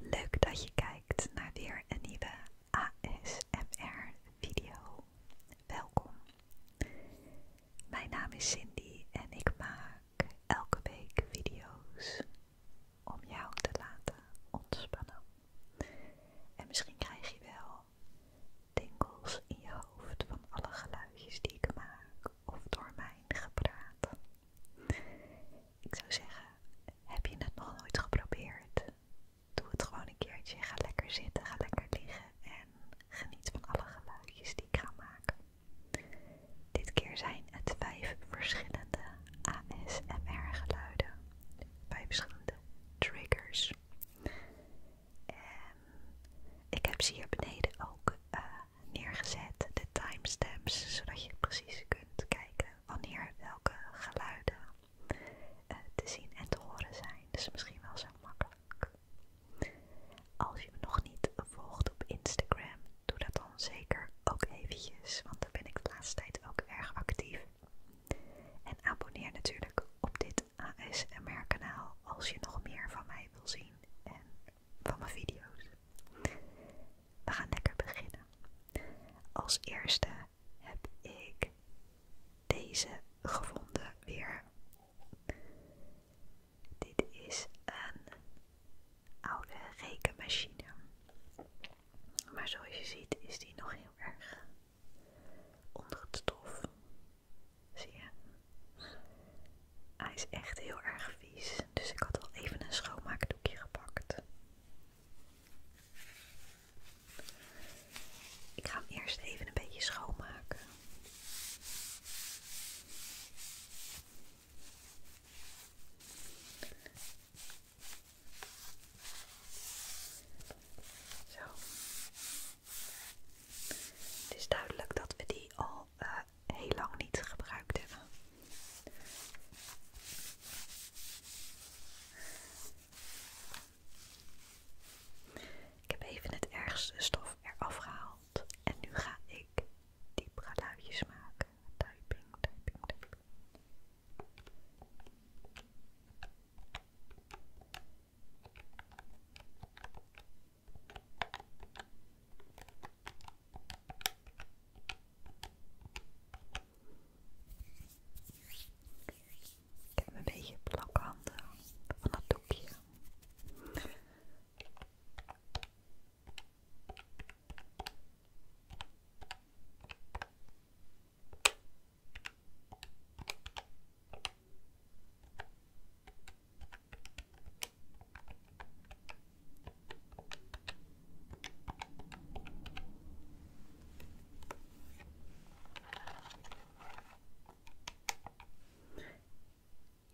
Leuk dat je kijkt naar weer een nieuwe ASMR video. Welkom. Mijn naam is Cindy en ik maak elke week video's om jou te laten ontspannen. En misschien krijg je wel dingels in je hoofd van alle geluidjes die ik maak of door mijn gepraat. Ik zou zeggen, heb je het nog nooit geprobeerd? Doe het gewoon een keertje. Ga lekker zitten, ga lekker liggen en geniet van alle geluidjes die ik ga maken. Dit keer zijn het vijf verschillende ASMR geluiden. Vijf verschillende triggers. En ik heb ze hier beneden ook eh, neergezet, de timestamps, zodat je precies kunt kijken wanneer welke geluiden eh, te zien en te horen zijn. Dus misschien wel zo makkelijk. Als je me nog niet volgt op Instagram, doe dat dan zeker ook eventjes, want daar ben ik de laatste tijd ook erg actief. En abonneer natuurlijk op dit ASMR-kanaal als je nog meer van mij wil zien en van mijn video's. We gaan lekker beginnen. Als eerste heb ik deze gevonden weer. Dit is een oude rekenmachine. Maar zoals je ziet is die nog heel erg Onder het stof. Zie je? Hij is echt heel erg vies. Dus ik had al even een schoonmaakdoekje gepakt. Ik ga hem eerst even een beetje schoonmaken. Zo. Het is duidelijk dat we die al eh, heel lang niet gebruikt hebben. Ik heb even het ergste stof eraf gehaald en nu ga ik die luidjes maken. Typing, typing, typing. Ik heb een beetje handen van het doekje.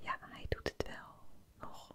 Ja, hij doet het wel nog.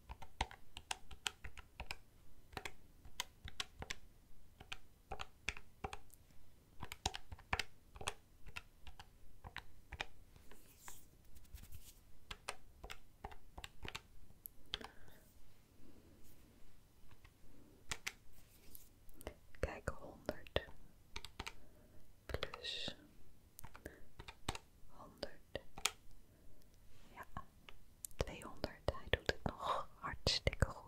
Kijk, honderd plus honderd ja, 200. Hij doet het nog hartstikke goed.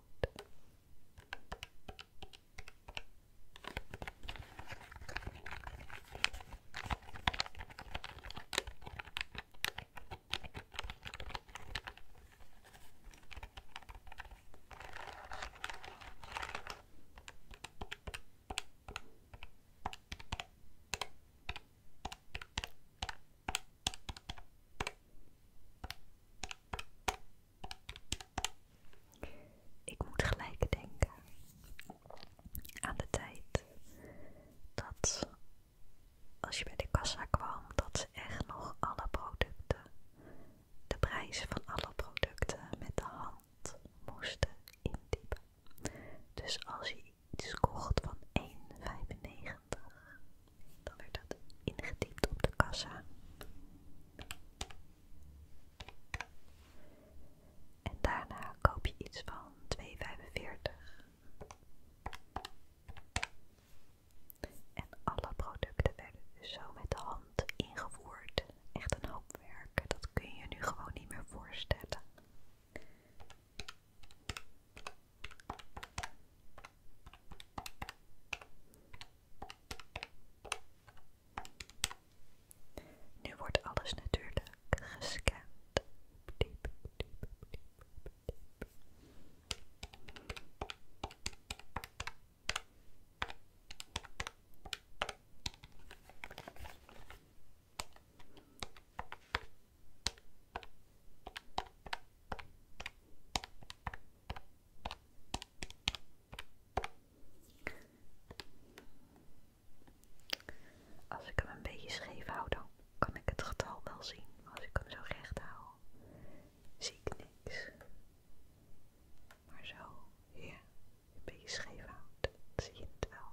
Ik moet gelijk denken aan de tijd dat als je bij de kassa kwam, dat ze echt nog alle producten, de prijzen van alle producten met de hand moesten indiepen. Dus als je iets kocht van 1,95. Dan werd dat ingediept op de kassa. En daarna koop je iets van 2,45. En alle producten werden dus zo met de hand ingevoerd. Echt een hoop werk. Dat kun je nu gewoon niet meer voorstellen. Nu wordt alles natuurlijk gescand. Diep, diep, diep, als ik hem een beetje scheef hou, dan kan ik het getal wel zien. Maar als ik hem zo recht hou, zie ik niks. Maar zo, ja. Ik ben je houdt. Dan zie je het wel.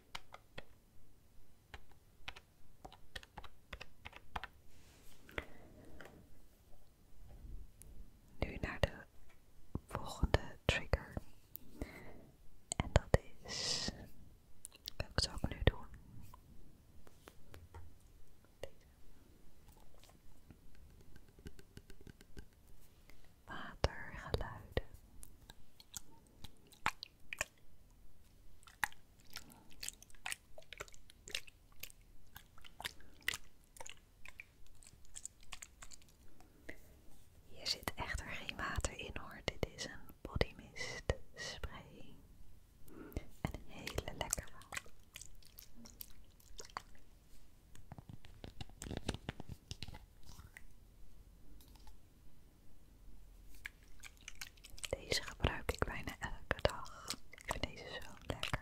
Nu naar de volgende trigger. En dat is. Welke zou ik nu doen? Deze watergeluiden. Hier zit echter geen water in hoor, dit is een bodymist spray. En een hele lekkere. Deze gebruik ik bijna elke dag. Ik vind deze zo lekker.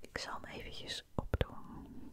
Ik zal hem eventjes opdoen.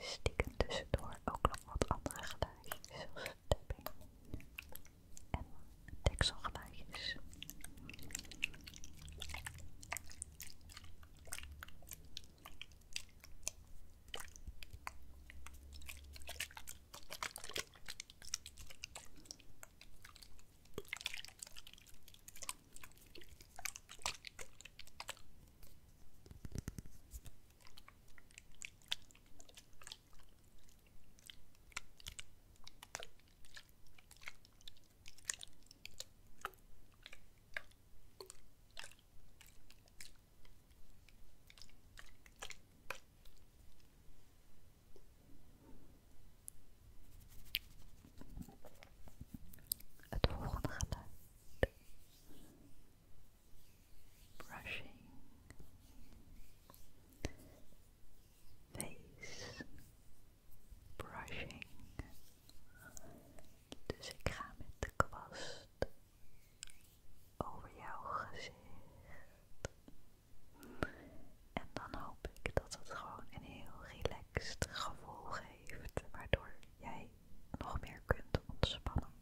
Stiekem tussendoor ook nog wat andere geluidjes, zoals tapping en dekselgeluidjes. Het volgende brushing face brushing dus ik ga met de kwast over jouw gezicht en dan hoop ik dat het gewoon een heel relaxed gevoel geeft waardoor jij nog meer kunt ontspannen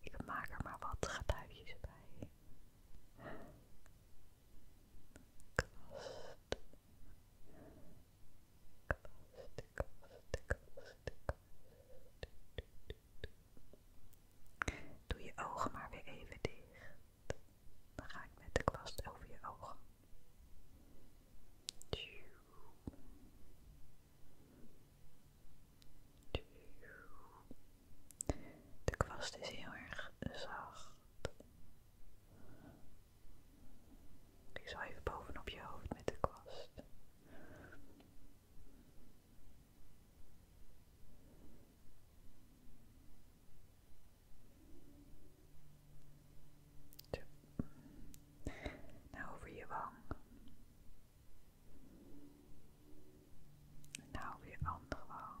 Ik maak er maar wat geluidjes bij. Doe je ogen maar weer even dicht. Dan ga ik met de kwast over je ogen. De kwast is heel erg zacht. Ik zal even bovenop je hoofd met de kwast. Zo. Nou over je wang. Nou weer andere wang.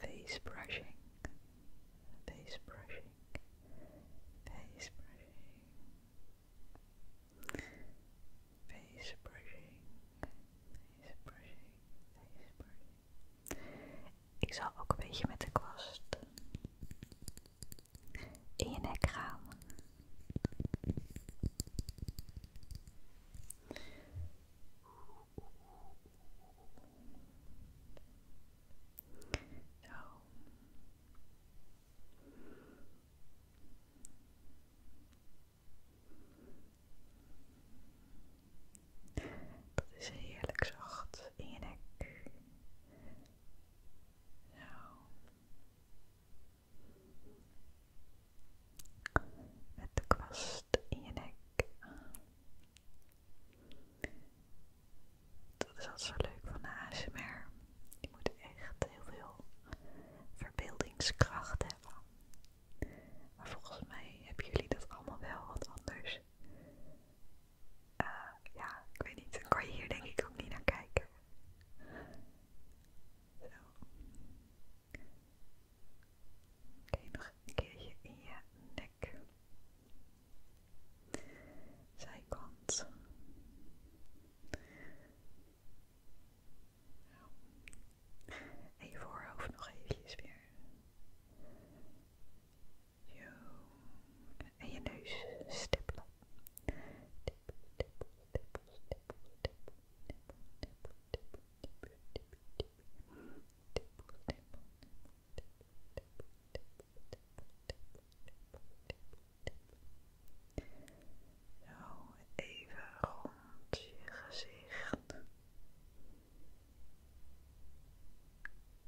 face brushing, face brushing, face brushing, face brushing, face brushing, face brushing. Ik zal ook een beetje met de kwast in je nek gaan. Dat is heerlijk zacht in je nek. Met de kwast in je nek. Dat is altijd zo leuk van de ASMR. Je moet echt heel veel verbeeldingskracht hebben. Maar volgens mij hebben jullie dat allemaal wel, want anders... Eh, ja, ik weet niet. Dan kan je hier denk ik ook niet naar kijken. Zo. Oké, nog een keertje in je nek. Zijkant. En je voorhoofd nog eventjes weer. Yo. En je neus stippelen. Stippel, stippel, stippel, stippel. Zo, even rond je gezicht.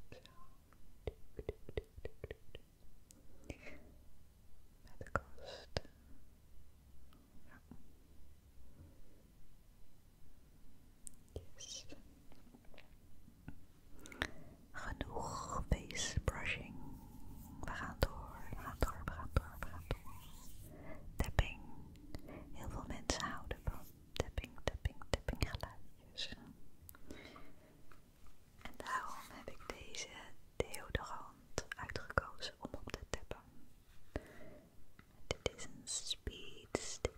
Met de Genoeg face brushing. We gaan door, we gaan door, we gaan door, we gaan door. Tapping. Heel veel mensen houden van tapping, tapping, tapping geluidjes. En daarom heb ik deze deodorant uitgekozen om op te tippen Dit is een speed stick.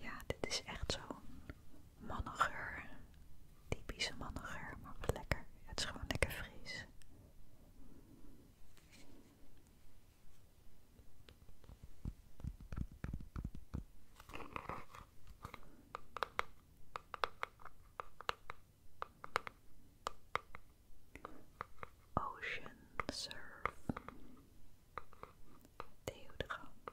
Ja, dit is echt zo'n mannengeur. Typische mannengeur, maar wat lekker. Het is gewoon lekker fris. Ocean Surf deodorant.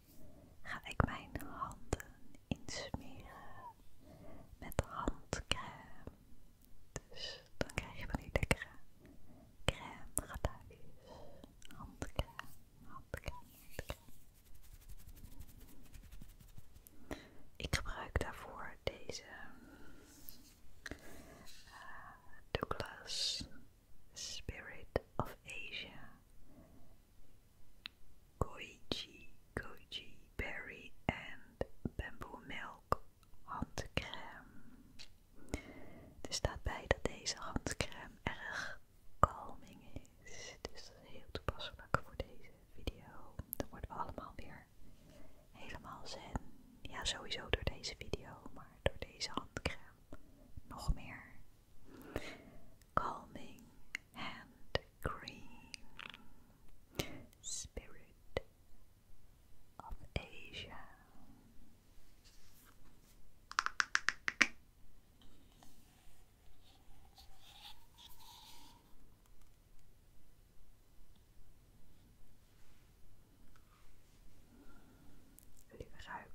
ga ik mijn handen insmeren met handcrème. Dus dan krijg je van die lekkere crème geluidjes. Handcrème, handcrème, handcrème. Ik gebruik daarvoor deze eh, Douglas Spirit of Asia Goji, goji berry en bamboo milk handcrème. Er staat bij dat deze handcrème erg kalming is. Dus dat is heel toepasselijk voor deze video. Dan worden we allemaal weer helemaal zen. Ja, sowieso door deze video, maar door deze handcrème nog meer. Calming Hand Cream Spirit of Asia. Wil je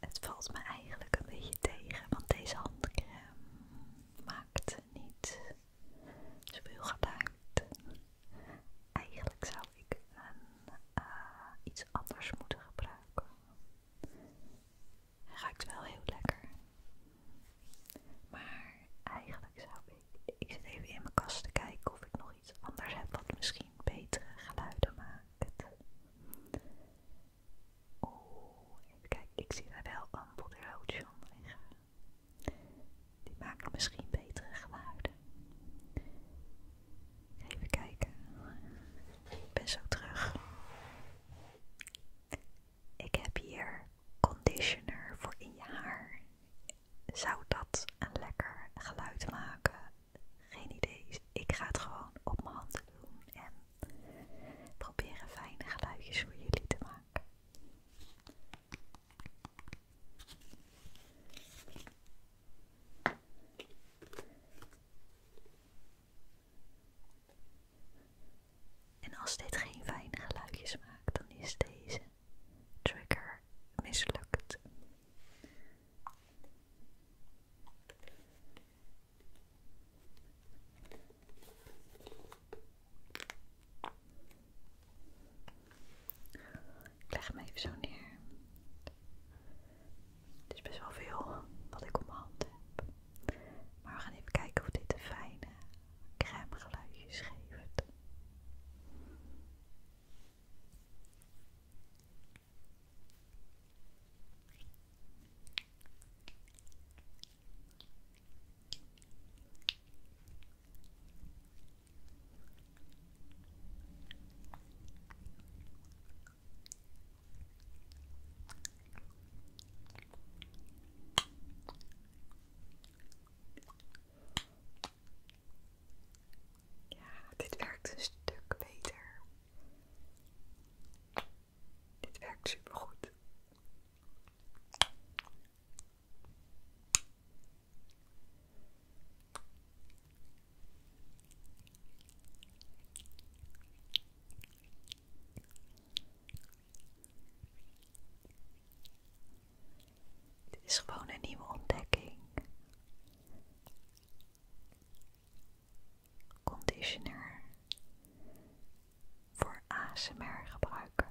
Het valt me eigenlijk een beetje tegen, want deze handcrème maakt niet speel geluid. Eigenlijk zou ik eh, iets anders moeten gebruiken. ik ruikt wel heel lekker. Maar eigenlijk zou ik. Ik zit even in mijn kast te kijken of ik nog iets anders heb wat misschien betere geluiden maakt. Oeh, kijk, ik zie daar wel een Body onder liggen. Die maken misschien betere geluiden. Even kijken. Ik ben zo terug. Ik heb hier conditioner voor in je haar. Zou dat een lekker geluid maken? Geen idee. Ik ga het gewoon op mijn hand doen en proberen fijne geluidjes voor jullie te maken. En als dit geen fijne geluidjes maakt, dan is deze trigger mislukt. Ik leg hem even zo neer. Het is best wel veel wat ik op mijn hand heb. Maar we gaan even kijken of dit de fijne crème geluidjes geeft. Ja, dit werkt een stuk beter. Dit werkt super goed. Dit is gewoon een nieuwe ontdekking. Conditioner voor ASMR gebruiken.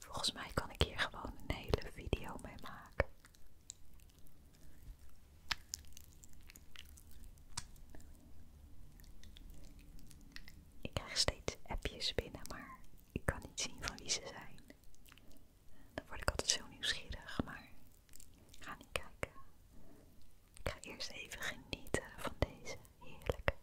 Volgens mij kan ik hier gewoon een hele video mee maken. Ik krijg steeds appjes binnen, maar ik kan niet zien van wie ze zijn. Dan word ik altijd zo nieuwsgierig, maar ik ga niet kijken. Ik ga eerst even genieten van deze heerlijke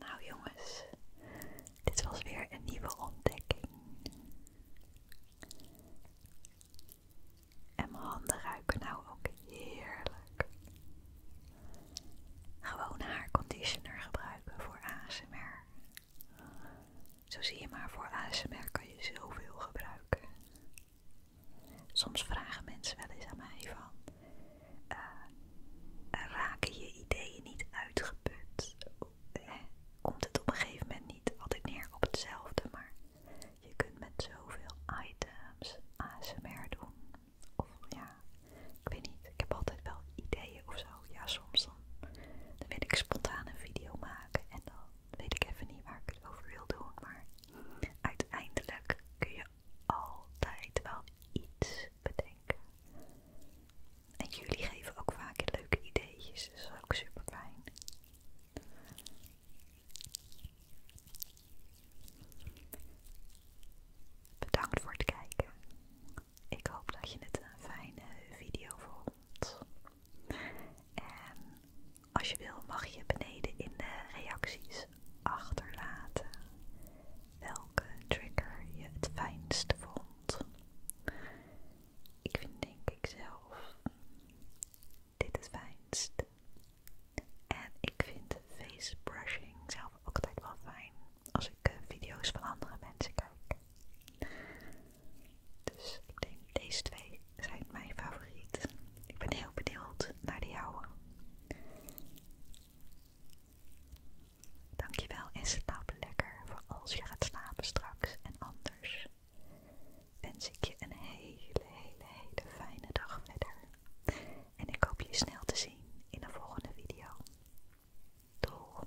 nou jongens, dit was weer een nieuwe ontdekking. En mijn handen ruiken nou ook heerlijk. Gewoon conditioner gebruiken voor ASMR. Zo zie je maar, voor ASMR kan je zoveel gebruiken. Soms vragen mensen wel eens aan mij van, eh, eh, raken je ideeën niet uitgeput? Komt het op een gegeven moment niet altijd neer op hetzelfde, maar je kunt met zoveel items ASMR doen. Of ja, ik weet niet, ik heb altijd wel ideeën of zo. Ja, soms dan, dan wil ik spontaan een video maken en dan weet ik even niet waar ik het over wil doen, maar uiteindelijk kun je altijd wel iets bedenken. En jullie geven ook vaak leuke ideetjes, dus dat is ook super fijn. Bedankt voor het kijken. Ik hoop dat je het een fijne video vond. En als je wil mag je beneden in de reacties achterlaten welke trigger je het fijnst vond. Ik vind denk ik zelf dit het fijnst. En ik vind face brushing zelf ook altijd wel fijn als ik eh, video's van andere mensen kijk. Dus ik denk deze twee zijn mijn favoriet. Ik ben heel benieuwd naar de je Dankjewel en slaap lekker voor als je gaat slapen straks en anders. Wens ik je een hele, hele, fijne dag verder. En ik hoop je snel te zien in de volgende video. Doeg!